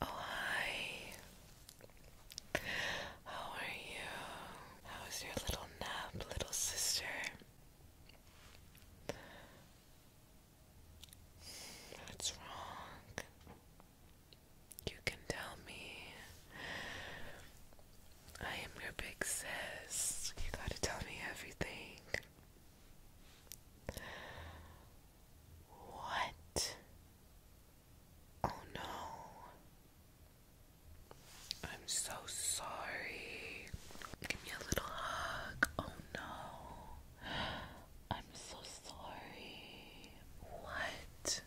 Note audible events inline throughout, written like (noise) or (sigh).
Oh, hi. How are you? How was your little nap, little sister? What's wrong? You can tell me. I am your big sis. You gotta tell me everything. What? Oh no. I'm so sorry. Give me a little hug. Oh no. I'm so sorry. What?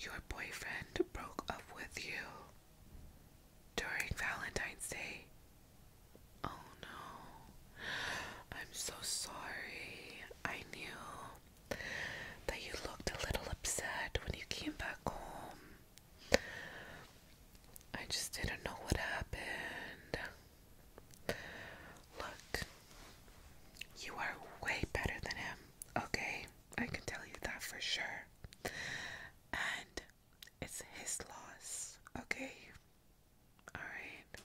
Your boyfriend broke up with you during Valentine's Day. Oh no. I'm so sorry. I knew that you looked a little upset when you came back home. I just didn't know what happened. Look, you are way better than him, okay? I can tell you that for sure. And it's his loss, okay? Alright.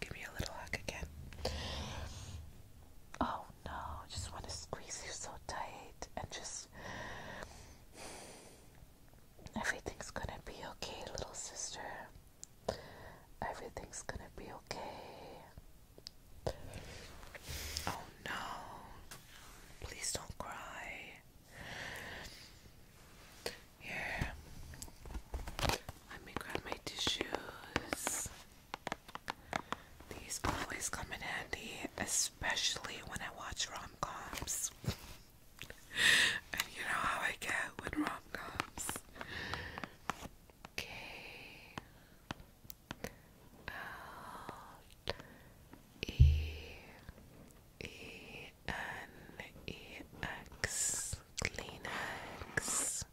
give me a little hug again. Oh no, just want to squeeze you so tight and just. Everything's gonna be okay, little sister. Everything's gonna be okay. Oh no. Please don't cry. Here. Let me grab my tissues. These always come in handy, especially when I watch rom (laughs) and you know how I get with rom K L E E N E X Kleenex.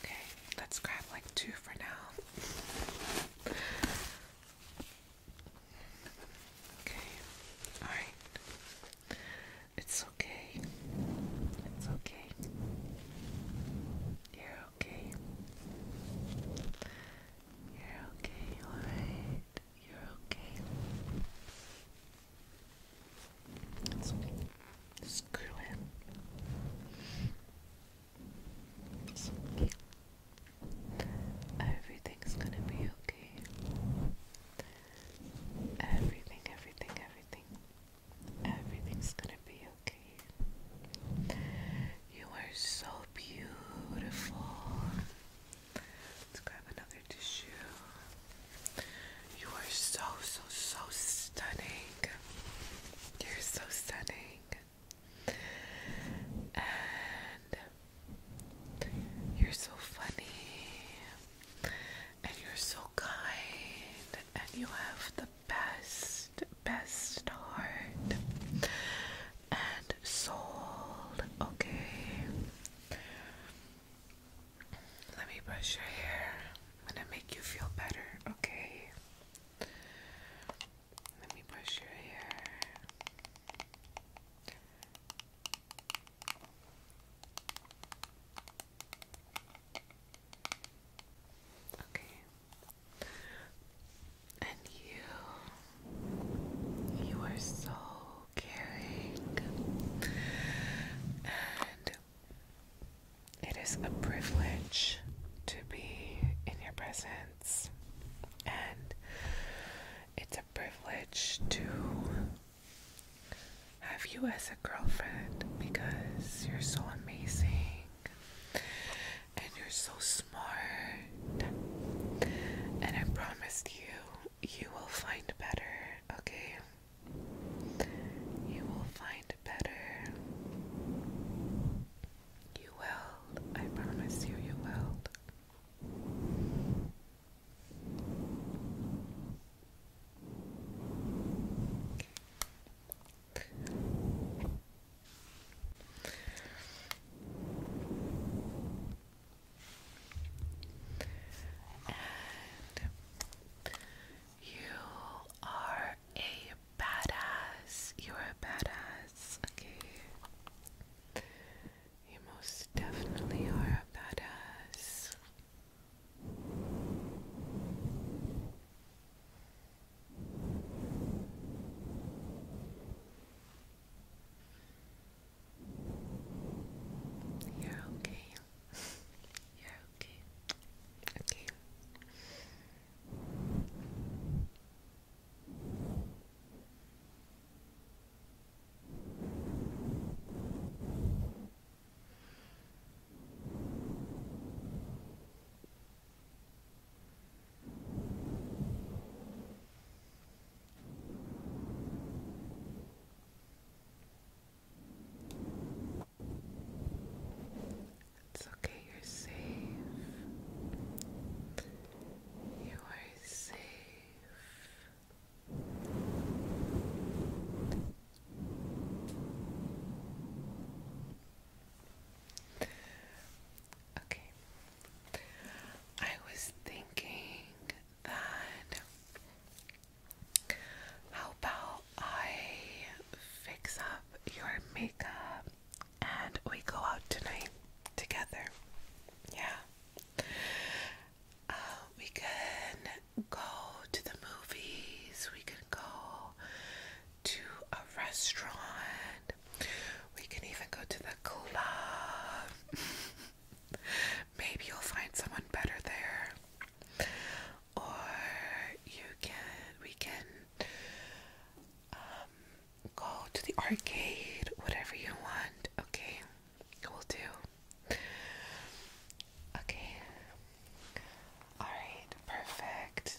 Okay, let's grab like two for now. Okay, alright. It's okay. It's okay. Yeah okay. You're okay, alright. You're okay. screw it. Everything's gonna be okay. Everything, everything, everything. Everything's gonna be okay. You are so beautiful. Let's grab another tissue. You are so, so, so stunning. You're so stunning. And you're so funny. And you're so kind. And you have the best, best heart and soul. Okay. Let me brush your hair. I'm gonna make you feel better, okay? Let me brush your hair. Okay. And you, you are so caring, and it is a privilege to be in your presence, and it's a privilege to have you as a girlfriend because you're so amazing and you're so smart. And I promised you, you will find better, okay? You will find better. You will. I promise you, you will you are a badass. You are a badass. Okay. You most definitely are a badass. You're okay. You're okay. Okay. Okay. It's okay, you're safe. You are safe. Okay. I was thinking that how about I fix up your makeup and we go out tonight together? Yeah. Uh, we can go to the movies, we can go to a restaurant, we can even go to the club. (laughs) Maybe you'll find someone better there. Or you can we can um, go to the arcade, whatever you want, okay? We'll do. Okay. Alright, perfect.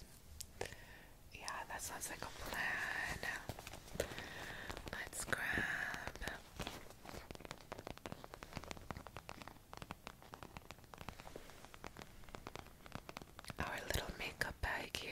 Yeah, that sounds like a plan. Let's grab. Our little makeup bag here.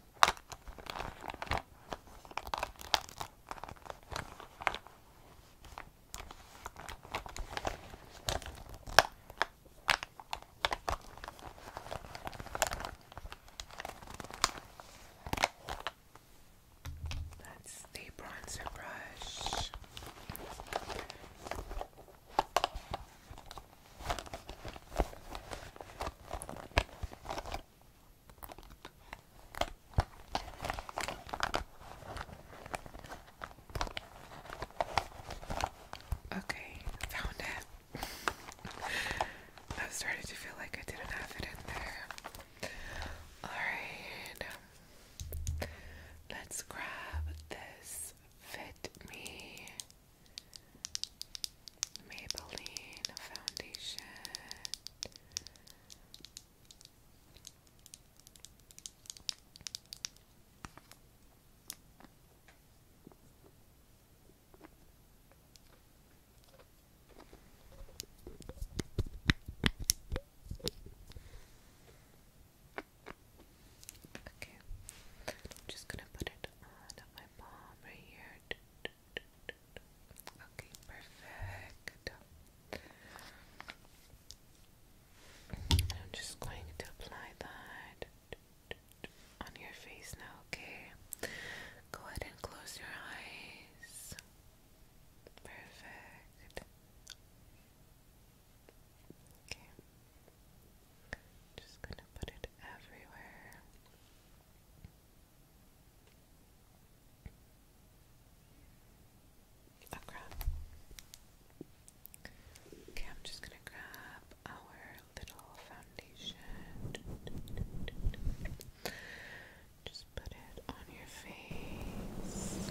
That's the bronzer brush. Okay, found it. (laughs) I am starting to feel like I didn't have it in there. Alright, um, let's grab this Fit Me Maybelline foundation. Okay, I'm just gonna put it on my palm right here. Okay, perfect. I'm just going to apply that on your face now, okay? Go ahead and close your eyes. Perfect. Okay. Just gonna put it everywhere. Oh, okay, I'm just gonna grab our little foundation. Just put it on your face.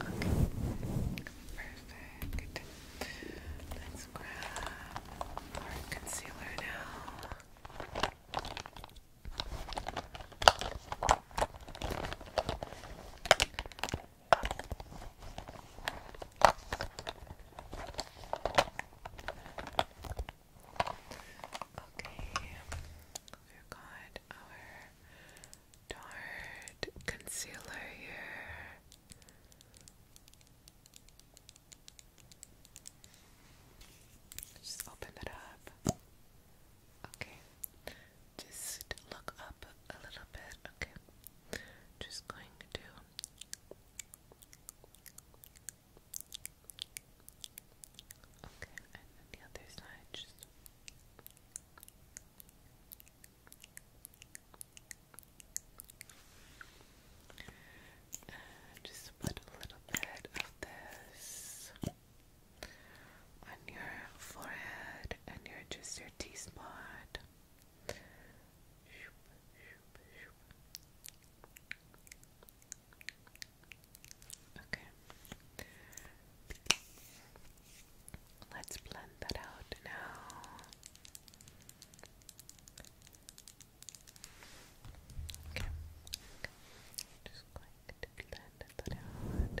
Okay, perfect. Let's grab our concealer now. Okay. Okay, we've got our Dart concealer here. Just open it up. Okay, just look up a little bit. Okay, just going to. Okay, and the other side just uh, just put a little bit of this on your forehead and your just your T spot. Okay. Let's blend that out now. Okay. Just going blend that out.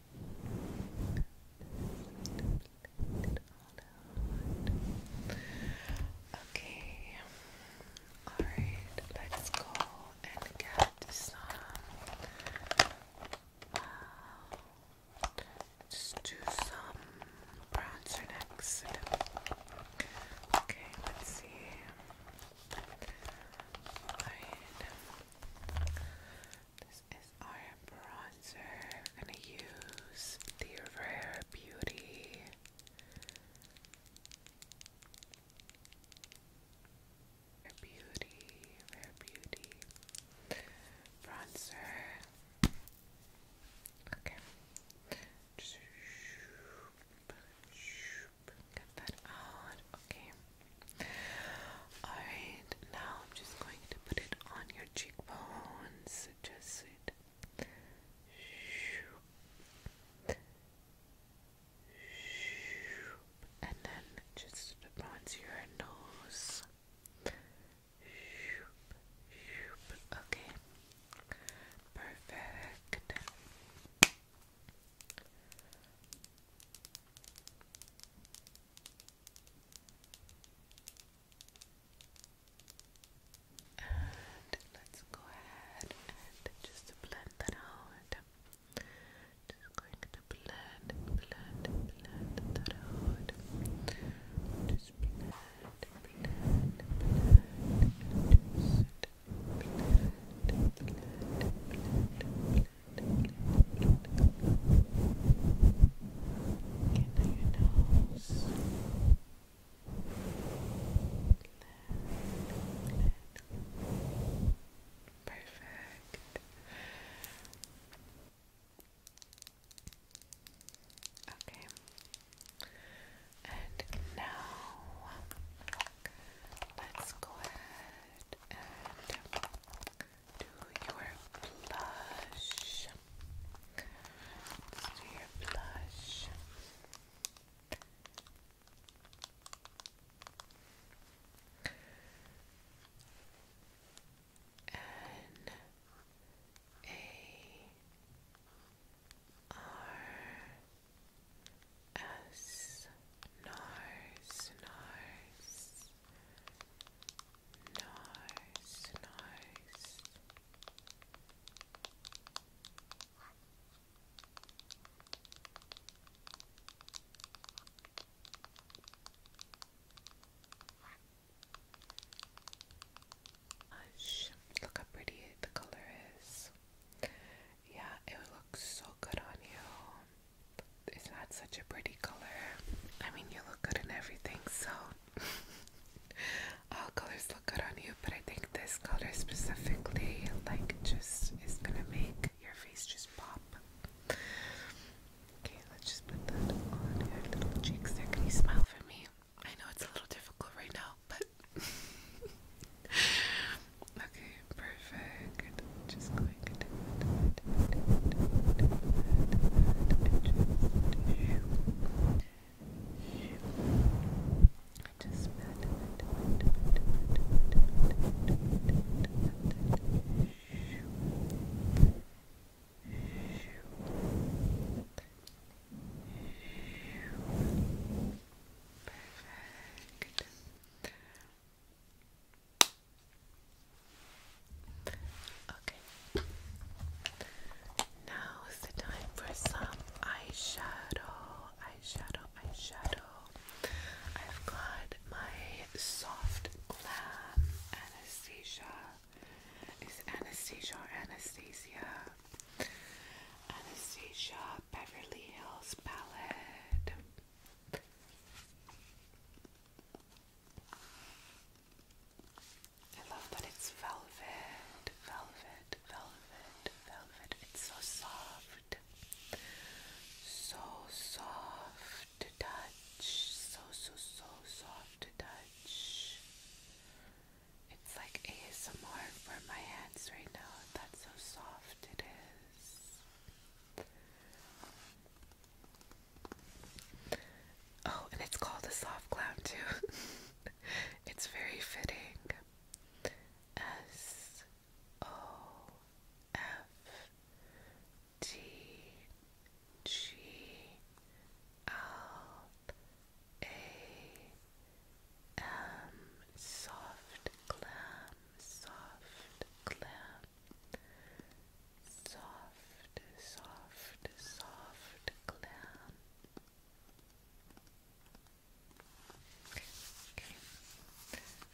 Okay, alright, let's go and get some. Uh, just do some bronzer next. Okay, let's see. Alright is our bronzer. gonna use the Rare Beauty. Rare Beauty, Rare Beauty bronzer. Okay. shoop, shoop, get that out. Okay. Alright, now I'm just going to put it on your cheekbones. Just it. And then just bronze your nose. Okay. Perfect. And let's go ahead and just blend that out. Just going to blend, blend, blend that out. Just blend, blend, blend, and just blend, blend, blend, blend. Get under Perfect. Okay. And now let's go ahead and do your blush. do your blush. N A R S NARS NARS Nice, nice. look how pretty the color is. Yeah, it looks so good on you it's not such a pretty color. I mean, you look good in everything, so (laughs) all colors look good on you, but I think this color specifically, like, just is gonna make your face just pop. Okay, let's just put that on your little cheeks there. Can you smile for me? I know it's a little difficult right now, but (laughs) okay, perfect quick, just quick, and just, just Perfect. Okay. Now is the time for some eyeshadow. Eyeshadow, eyeshadow. I've got my soft glam Anastasia. Is Anastasia Anastasia? Anastasia Beverly Hills palette. I love that it's velvet, velvet, velvet, velvet. It's so soft, so soft to touch, so, so, so soft to touch. It's like ASMR for my hands right now. That's how soft it is. Oh, and it's called a soft clown too. (laughs) it's very fitting. S O F T G L A M soft clam soft, clam, soft, soft, soft clam. Okay,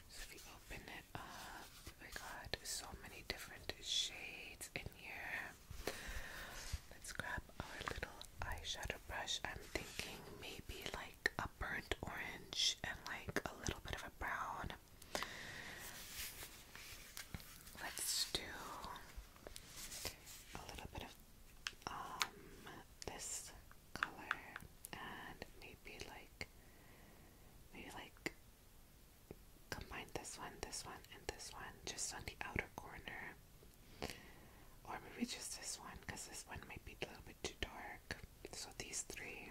so if you open it up, we got so many different shades in here. Let's grab our little eyeshadow brush. I'm thinking maybe like a burnt orange and like a little bit of a brown. Let's do a little bit of um this color and maybe like maybe like combine this one, this one, and this one just on the outer corner. Or maybe just this one because this one might be a little bit too dark. So these three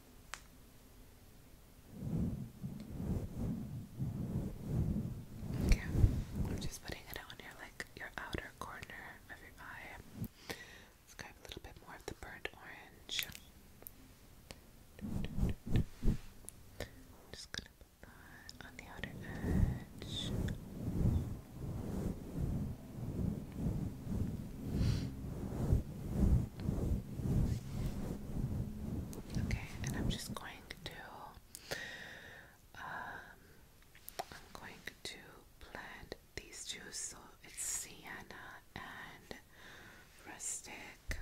Okay, I'm just putting it on your like your outer corner of your eye. Let's grab a little bit more of the burnt orange. just gonna put that on the outer edge. Okay, and I'm just going to um I'm going to blend these two so it's sienna and rustic.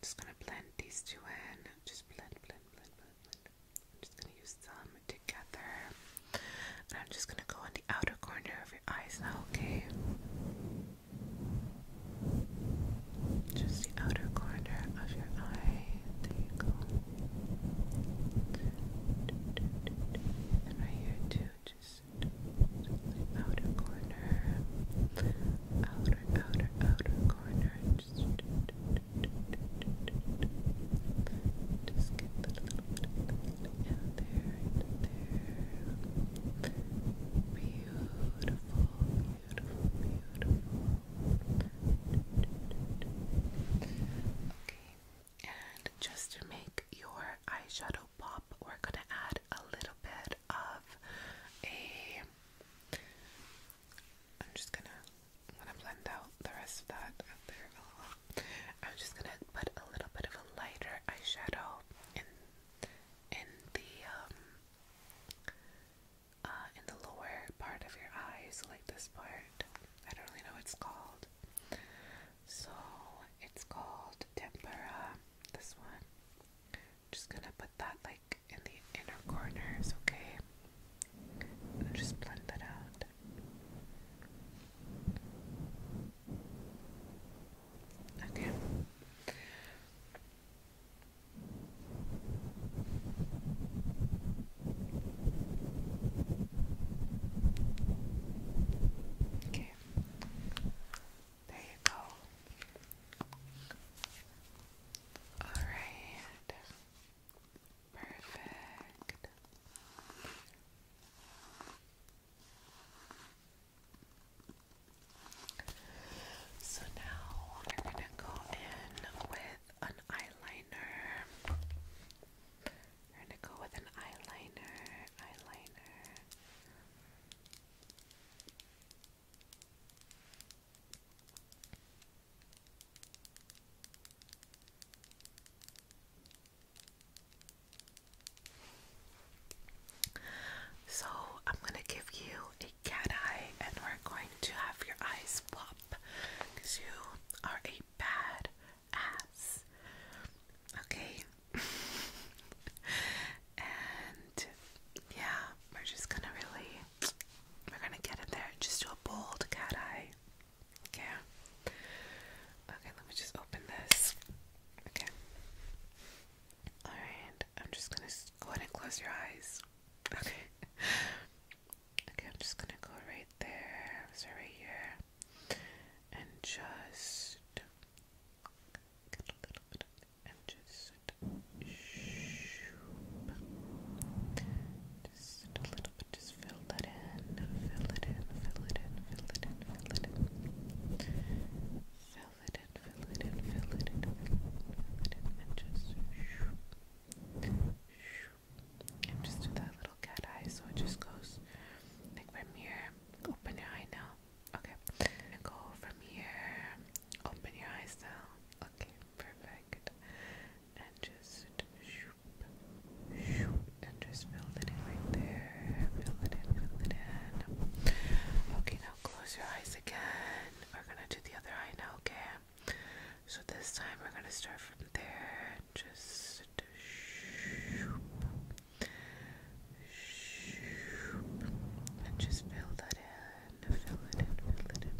just gonna blend these two in. Just blend, blend, blend, blend, blend. I'm just gonna use them together. And I'm just gonna go on the outer corner of your eyes now, okay? Just the outer corner of your eye. There you go. And right here too, just the outer corner. Outer, outer, outer corner. Just, get the little down there, right there. Beautiful, beautiful, beautiful. Okay, and just to make your eyeshadow pop, we're gonna add a little bit of a. I'm just gonna. gonna blend out the rest of that out there. I'm just gonna put a little bit of a lighter eyeshadow in in the um, uh, in the lower part of your eyes, like this part. I don't really know what called. So it's called tempera. This one. just gonna put that like in the inner corners, okay? just blend that out. Okay. Okay. There you go. All right. Perfect. So now we're gonna go in with an eyeliner. We're gonna go with an eyeliner, eyeliner. So I'm gonna give you a cat eye, and we're going to have your eyes pop, cause you are a bad ass. Okay. (laughs) and yeah, we're just gonna really, we're gonna get in there and just do a bold cat eye. Okay. Okay, let me just open this. Okay. Alright, I'm just gonna go ahead and close your eyes. Okay. (laughs) okay, I'm just gonna go right there. So, right here. And just get a little bit and just shoop. Just a little bit, just fill that in, fill it in, fill it in, fill it fill it in. Fill it in, fill it in, fill it in, and just shoo, shoo. And just do that little cat eye so it just goes like from here. Open your eye now. Okay. And go from here. Open your eyes now. Okay, perfect. And just shoop, shoop, and just fill it in right there. Fill it in, fill it in. Okay, now close your eyes again. We're gonna do the other eye now, okay? So this time we're gonna start from there. Just shoop, shoop, and just fill that in. Fill it in, fill it in.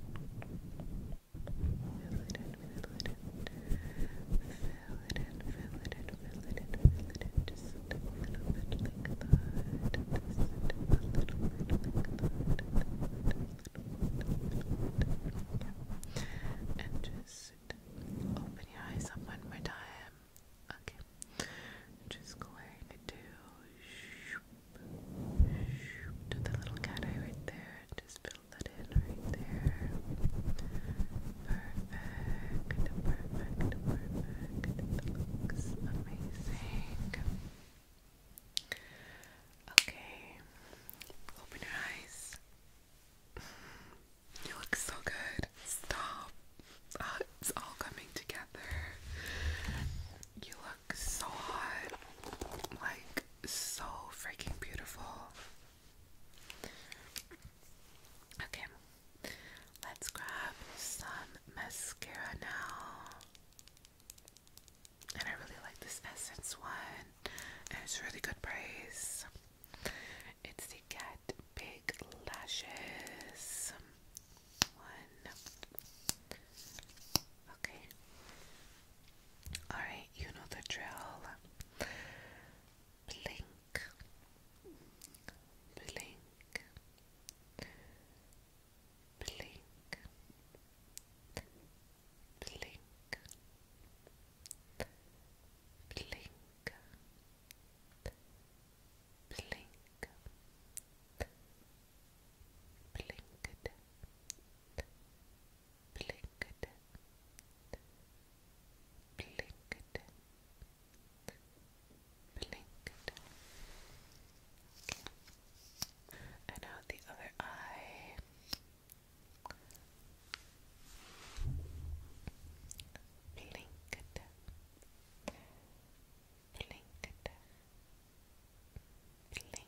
Fill it in, fill it in fill it in, fill it in, fill it in, fill it in, just a little bit like that, just a little bit like that, yeah. and just open your eyes up one more time, okay, just going to do, shoop, shoop, to the little cat eye right there, just fill that in right there, perfect, perfect, perfect. looks amazing. Okay, open your eyes. You look so good. Stop. it's all coming together. You look so hot. Like, so freaking beautiful. Okay, let's grab some mascara now. And I really like this Essence one, and it's really good price. It's the get Big Lashes one. Okay. Alright, you know the drill. Blink, blink, blink, blink, blink. Blink, blinked, blinked, blinked, Blinked. Okay. And out the other eye. Blinked. Blink. Blink. Blink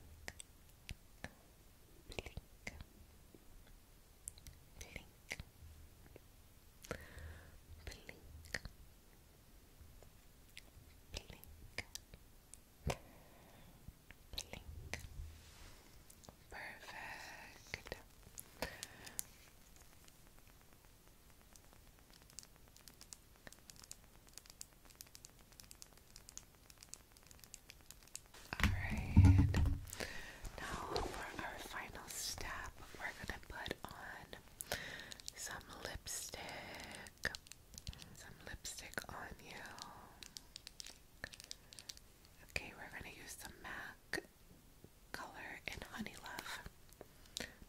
blink, blink, Perfect. All right. Now for our final step, we're gonna put on some lipstick. Some lipstick on you. Okay, we're gonna use the MAC color in Honey Love.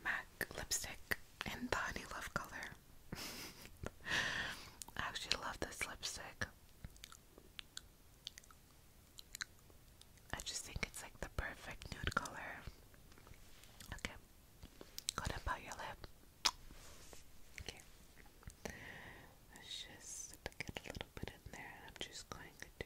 MAC lipstick in the Honey Love color. (laughs) I actually love this lipstick. I just think it's like the perfect nude color. Okay. Go down your lip. Let's just get a little bit in there I'm just going to do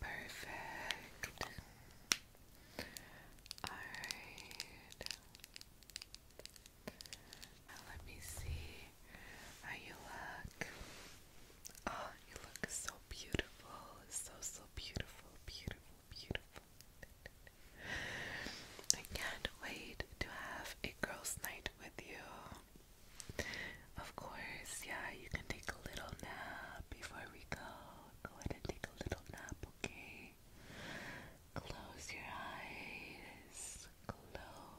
Perfect. All right. Now let me see. How you look? Oh, you look so beautiful. So, so beautiful, beautiful, beautiful. I can't wait to have a girls' night with you. Of course, yeah, you can take a little nap before we go. Go ahead and take a little nap, okay? Close your eyes. Close